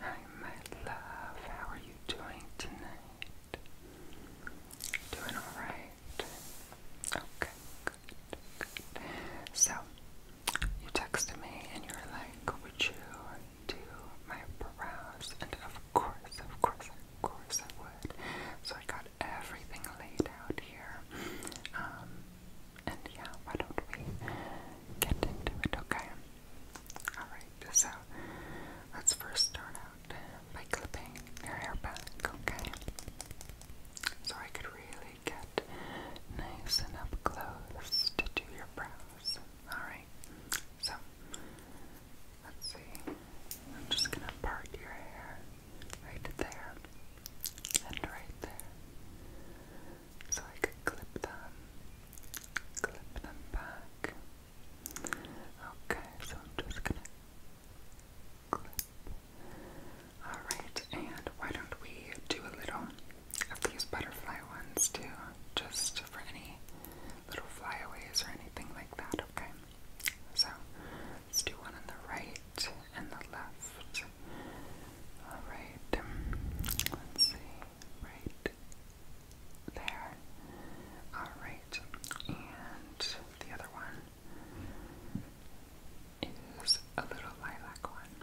Hi, my love. How are you doing tonight? Doing alright? Okay, good, good. So, you texted me and you were like, Would you do my brows? And of course, of course, of course I would. So, I got everything laid out here. Um, and yeah, why don't we get into it, okay? Alright, so let's first start out by clipping your hair back, okay? So I could really get nice and up close to do your brows. Alright, so let's see. I'm just gonna part your hair right there and right there. So I could clip them, clip them back. Okay, so I'm just gonna clip. Alright, and why don't we do a little of these butterfly ones too, just for any little flyaways or anything like that, okay? So let's do one on the right and the left. Alright, let's see right there. Alright, and the other one is a little lilac one.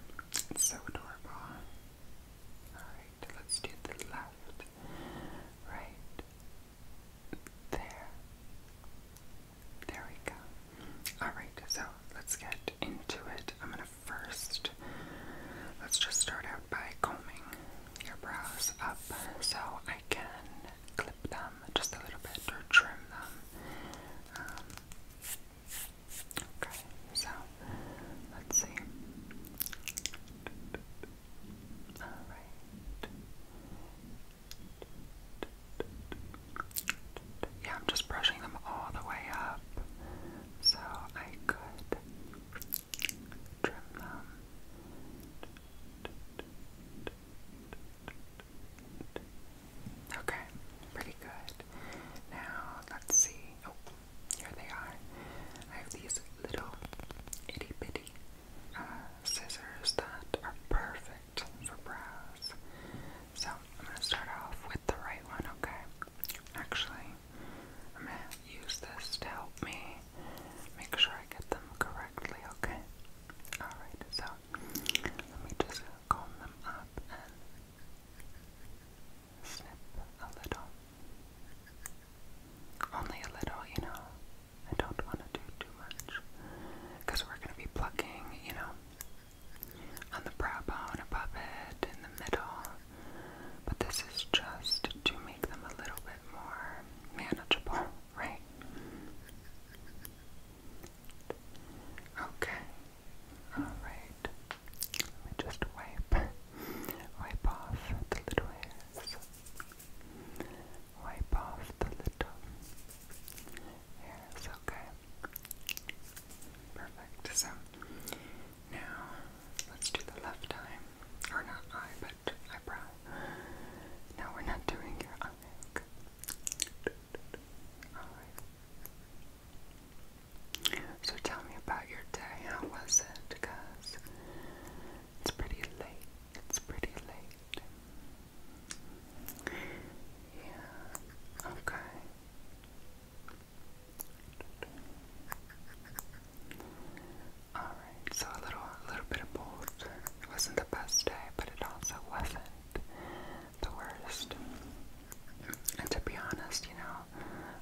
It's so adorable. Alright, let's do the left, right there. There we go. Alright, so let's get into it first. Let's just start out by combing your brows up so I can clip them just a little bit or trim them. Um, okay, so let's see. Yeah, I'm just brushing them all the way up so I could trim them. Okay, pretty good. Now let's see. Oh, here they are. I have these little itty bitty uh, scissors that are perfect for brows. So I'm gonna start off with the right one, okay? Actually, I'm going to use this to help me make sure I get them correctly, okay? Alright, so let me just comb them up and snip a little. Only a little, you know. I don't want to do too much because we're going to be plucking, you know, on the brow bone above it, in the middle, but this is just to make them a little bit more manageable, right? Okay. Alright. Let me just wipe. Wipe off the little hairs. Wipe off the little hairs, okay. Perfect. So now, let's do the left eye. Or not eye, but eyebrow. No, we're not doing your eye. Alright. So tell me about your day. How was it? Because it's pretty late. It's pretty late. Yeah. Okay. Alright, so a little a little bit of both. It wasn't the best day, but it also wasn't the worst. And to be honest, you know,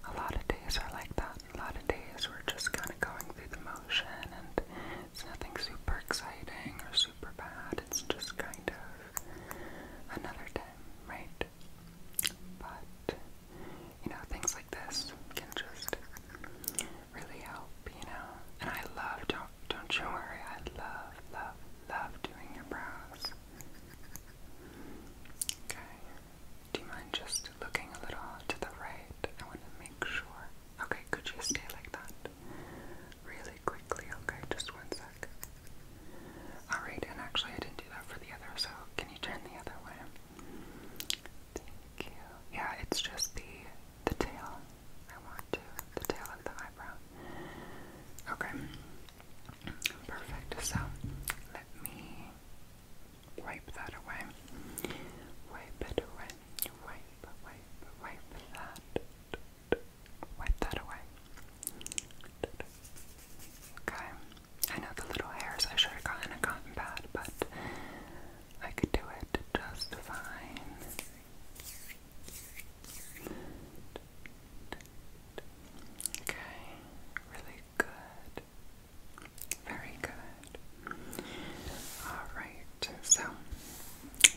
a lot of days are like that. A lot of days we're just kind of going through the motion and it's nothing super exciting or super bad. It's just kind of another day, right? But you know, things like this can just really help, you know. And I love, don't, don't you worry, I love, love, love doing your brows. Okay. Do you mind just looking a little to the right? I want to make sure. Okay, could you stay like that? Really quickly, okay, just one sec. Alright, and actually I didn't do that for the other, so can you turn the other way? Yeah, it's just the the tail. I want to the tail of the eyebrow. Okay. Perfect. So let me wipe that away. Wipe it away. Wipe, wipe, wipe that. Wipe that away. Okay. I know the little hairs I should have gotten a cotton pad, but I could do it just fine. Okay, really good. Very good. Alright, so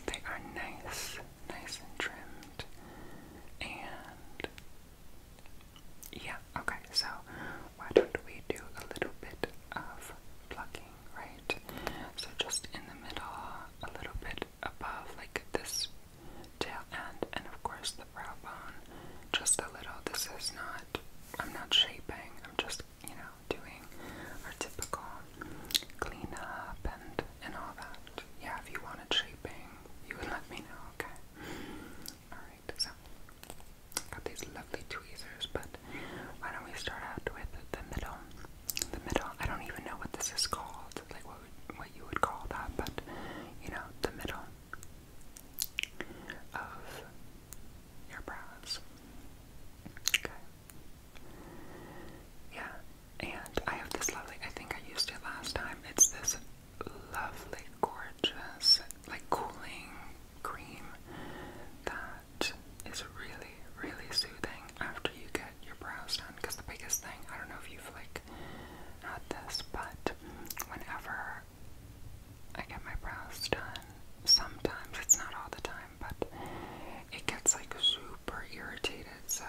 they are nice, nice and trimmed, and yeah, okay, so why don't we do a little bit of plucking, right? So just in the middle, a little bit above, like this tail end, and of course the brow bone, just a little. This is not, I'm not shaping, I'm just, you know, doing our typical cleanup and, and all that. Yeah, if you wanted shaping, you would let me know, okay? Alright, so got these lovely tweezers, but why don't we start out with the middle? The middle. I don't even know what this is called, like what would, what you would call that, but you know, the middle of your brows. Okay. Yeah, and I have this lovely. I think I used it last time. It's this lovely, gorgeous, like cooling cream that is really, really soothing after you get your brows done. Because the biggest thing, I don't know if you've like had this, but whenever I get my brows done, sometimes it's not all the time, but it gets like super irritated. So,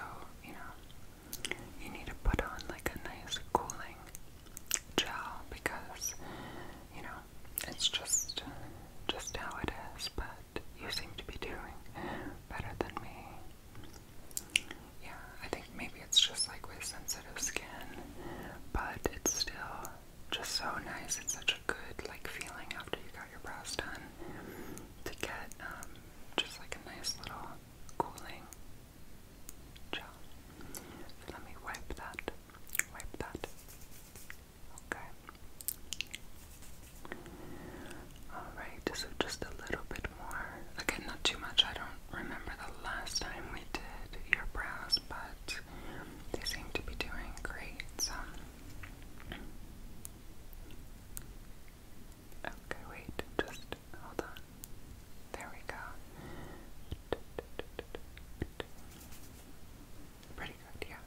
you know, you need to put on like a nice cooling gel because you know it's just just how it is. But you seem to be doing better than me. Yeah, I think maybe it's just like with sensitive skin, but it's still just so nice. It's such a good like feeling after you got your brows done to get um, just like a nice little cooling let me wipe that. Wipe that. Okay. Alright, so just a little bit more. Again, not too much. I don't remember the last time we did your brows, but they seem to be doing great. So. Okay, wait, just hold on. There we go. Pretty good, yeah.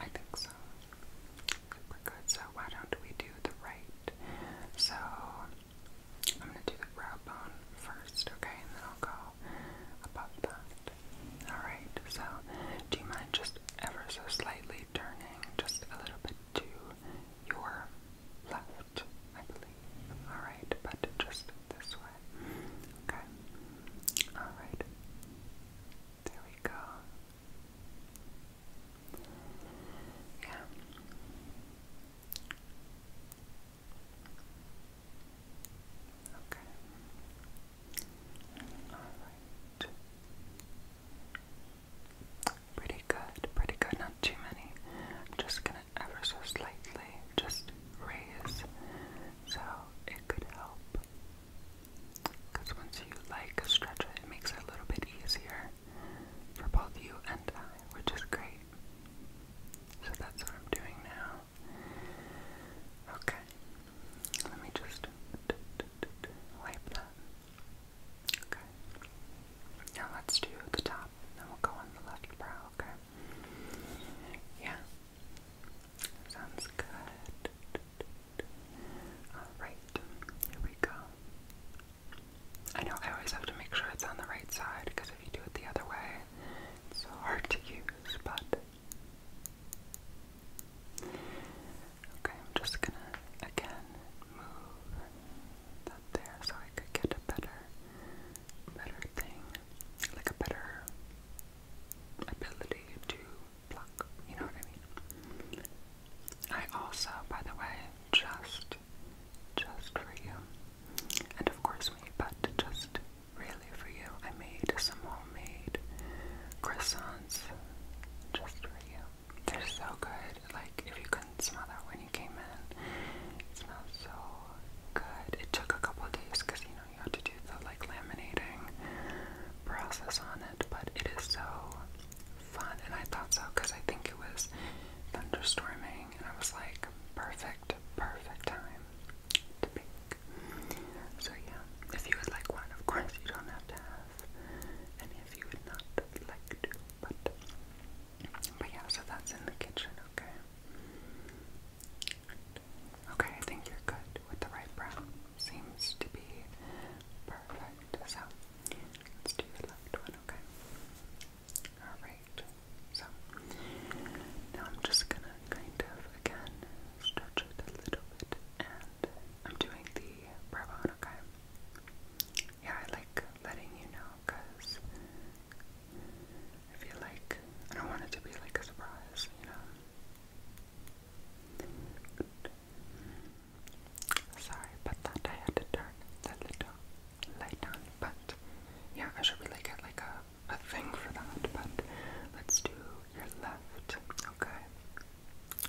I think so. Super good. So why don't we do the right? So I'm gonna do the brow bone first, okay, and then I'll go above that. Alright, so do you mind just ever so slightly turning just a little bit to your left? I believe. Alright, but just this way. Okay. Alright. There we go. Yeah. Okay. Alright. Pretty good, pretty good. Not too many. I'm just gonna ever so slightly, just raise so it could help. Because once you like stretch it, it makes it a little bit easier for both you and I, which is great. So that's what I'm doing now. Okay, let me just wipe that. Okay, now let's do the top, and then we'll go on the left brow, okay? Yeah. Sounds good. Alright, here we go. I know I always have to make sure it's on the right side because if you do it the other way, it's so hard to use, but. Okay, I'm just gonna again move that there so I could get a better better thing, like a better ability to pluck, you know what I mean? I also, by the way, just, just for you, and of course me, but just really for you, I made some homemade croissants just for you. They're so good, like if you couldn't smell that when you came in. It smells so good. It took a couple of days because you know you had to do the like laminating process on it, but it is so fun. And I thought so because I think it was thunderstorming, and I was like, perfect, perfect time to pick. So yeah, if you would like one, of course you don't have to have, and if you would not like to, but. But yeah, so that's in the kitchen, okay? Okay, I think you're good with the right brown. Seems to be perfect. So let's do the left one, okay? Alright. So now I'm just gonna kind of again stretch it a little bit and I'm doing the brow bone, okay? Yeah, I like letting you know because I feel like I don't want it to be like a surprise, you know. Sorry, but that I had to turn the light on. But yeah, I should really get like a, a thing for that. But let's do your left, okay?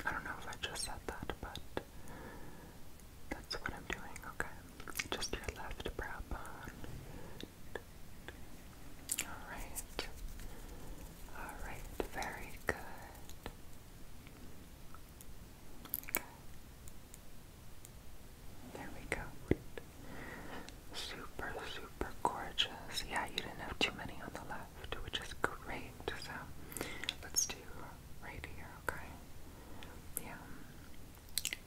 I don't know if I just said that, but that's what I'm doing, okay? just your left brow bone. Alright. Alright, very good. Okay. There we go. Super, super gorgeous. Yeah, you didn't have too many on the left, which is great. So let's do right here, okay? Yeah.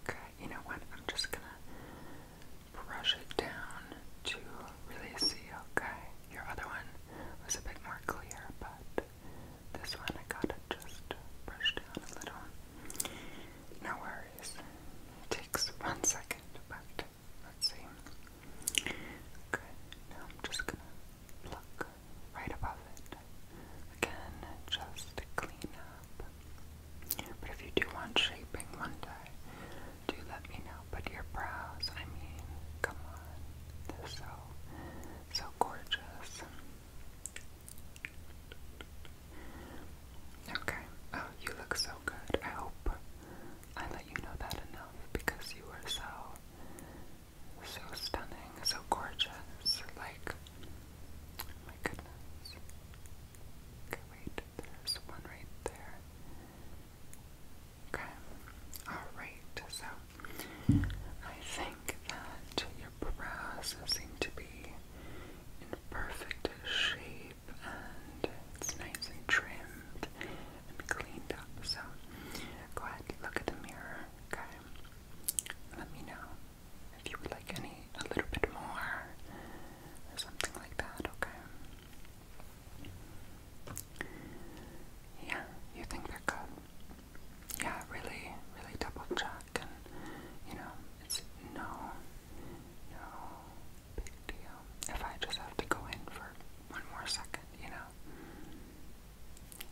Okay, you know what? I'm just gonna brush it down to really see. Okay, your other one was a bit more clear, but this one I gotta just brush down a little. No worries. takes one second, but let's see. Okay, now I'm just gonna pluck right above it. Again, just clean but if you do want shaping one day, do let me know. But your brows, I mean, come on. They're so, so gorgeous. Okay. Oh, you look so good. I hope I let you know that enough because you were so, so stunning, so gorgeous. Like, my goodness. Okay, wait, there's one right there. Okay, alright, so I think that your brows seem to be in perfect shape and it's nice and trimmed and cleaned up. So go ahead, look at the mirror, okay? Let me know if you would like any a little bit more or something like that, okay? Yeah, you think they're good. Yeah, really, really double check and you know, it's no no big deal. If I just have to go in for one more second, you know.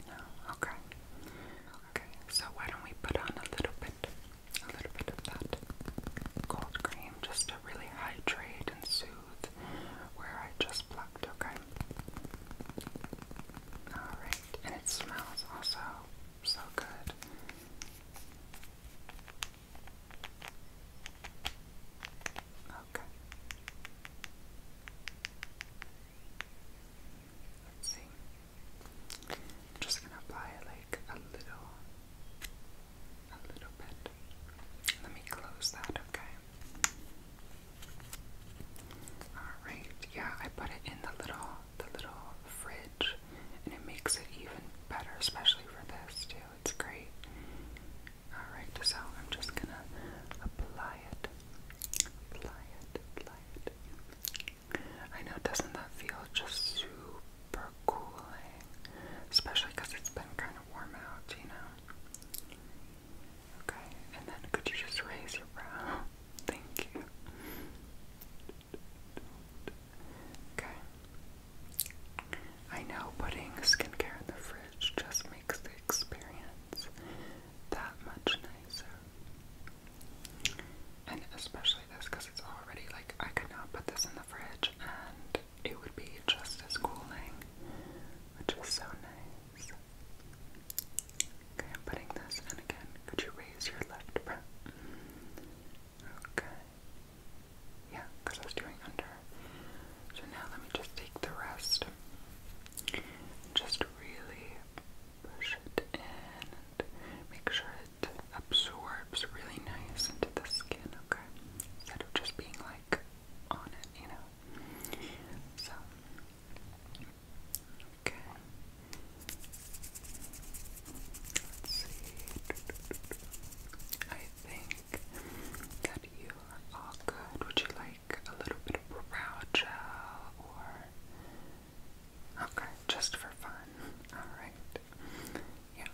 No, okay. Okay, so why don't we put on a little bit a little bit of that cold cream just to really hydrate and soothe where I just plucked, okay? Alright, and it smells also so good. Okay. Let's see. I'm just gonna apply it like a little, a little bit. Let me close that, okay? Alright, yeah, I put it in the little, the little fridge, and it makes it even better, especially for this too. It's great. Alright, so I'm just gonna apply it, apply it, apply it. I know, doesn't that feel just super cooling? Especially because it's been kind of warm out, you know? Okay, and then could you just raise your brow? Thank you. Okay. I know putting skincare in the fridge just makes the experience that much nicer. And especially this because it's already like I could not put this in the fridge and it would be just as cooling, which is so nice. Okay, I'm putting this in again. Could you raise your left brow? Okay. Yeah, because I was doing under. So now let me just take the rest. Just really push it in make sure absorbs really nice into the skin, okay? Instead of just being like on it, you know? okay. Let's see. I think that you are all good. Would you like a little bit of brow gel or Okay, just for fun. Alright. Yeah.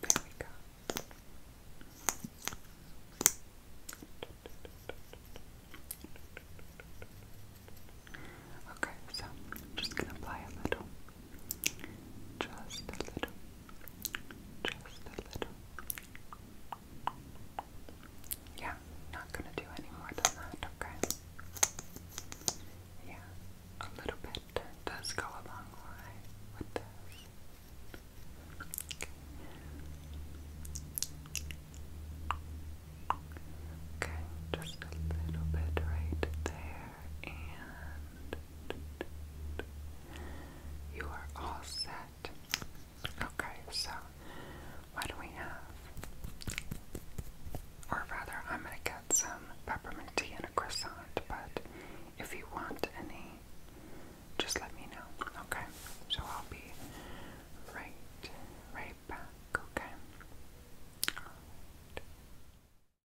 There Okay, so I'm just going to apply a little just a little. Just a little. Yeah, not gonna do any more than that, okay? Yeah, a little bit does go a long way Okay, just a little bit right there and you are all set. Okay, so what do we have? Or rather, I'm gonna get some peppermint tea and a croissant, but if you want any, just let me know. Okay, so I'll be right, right back. Okay.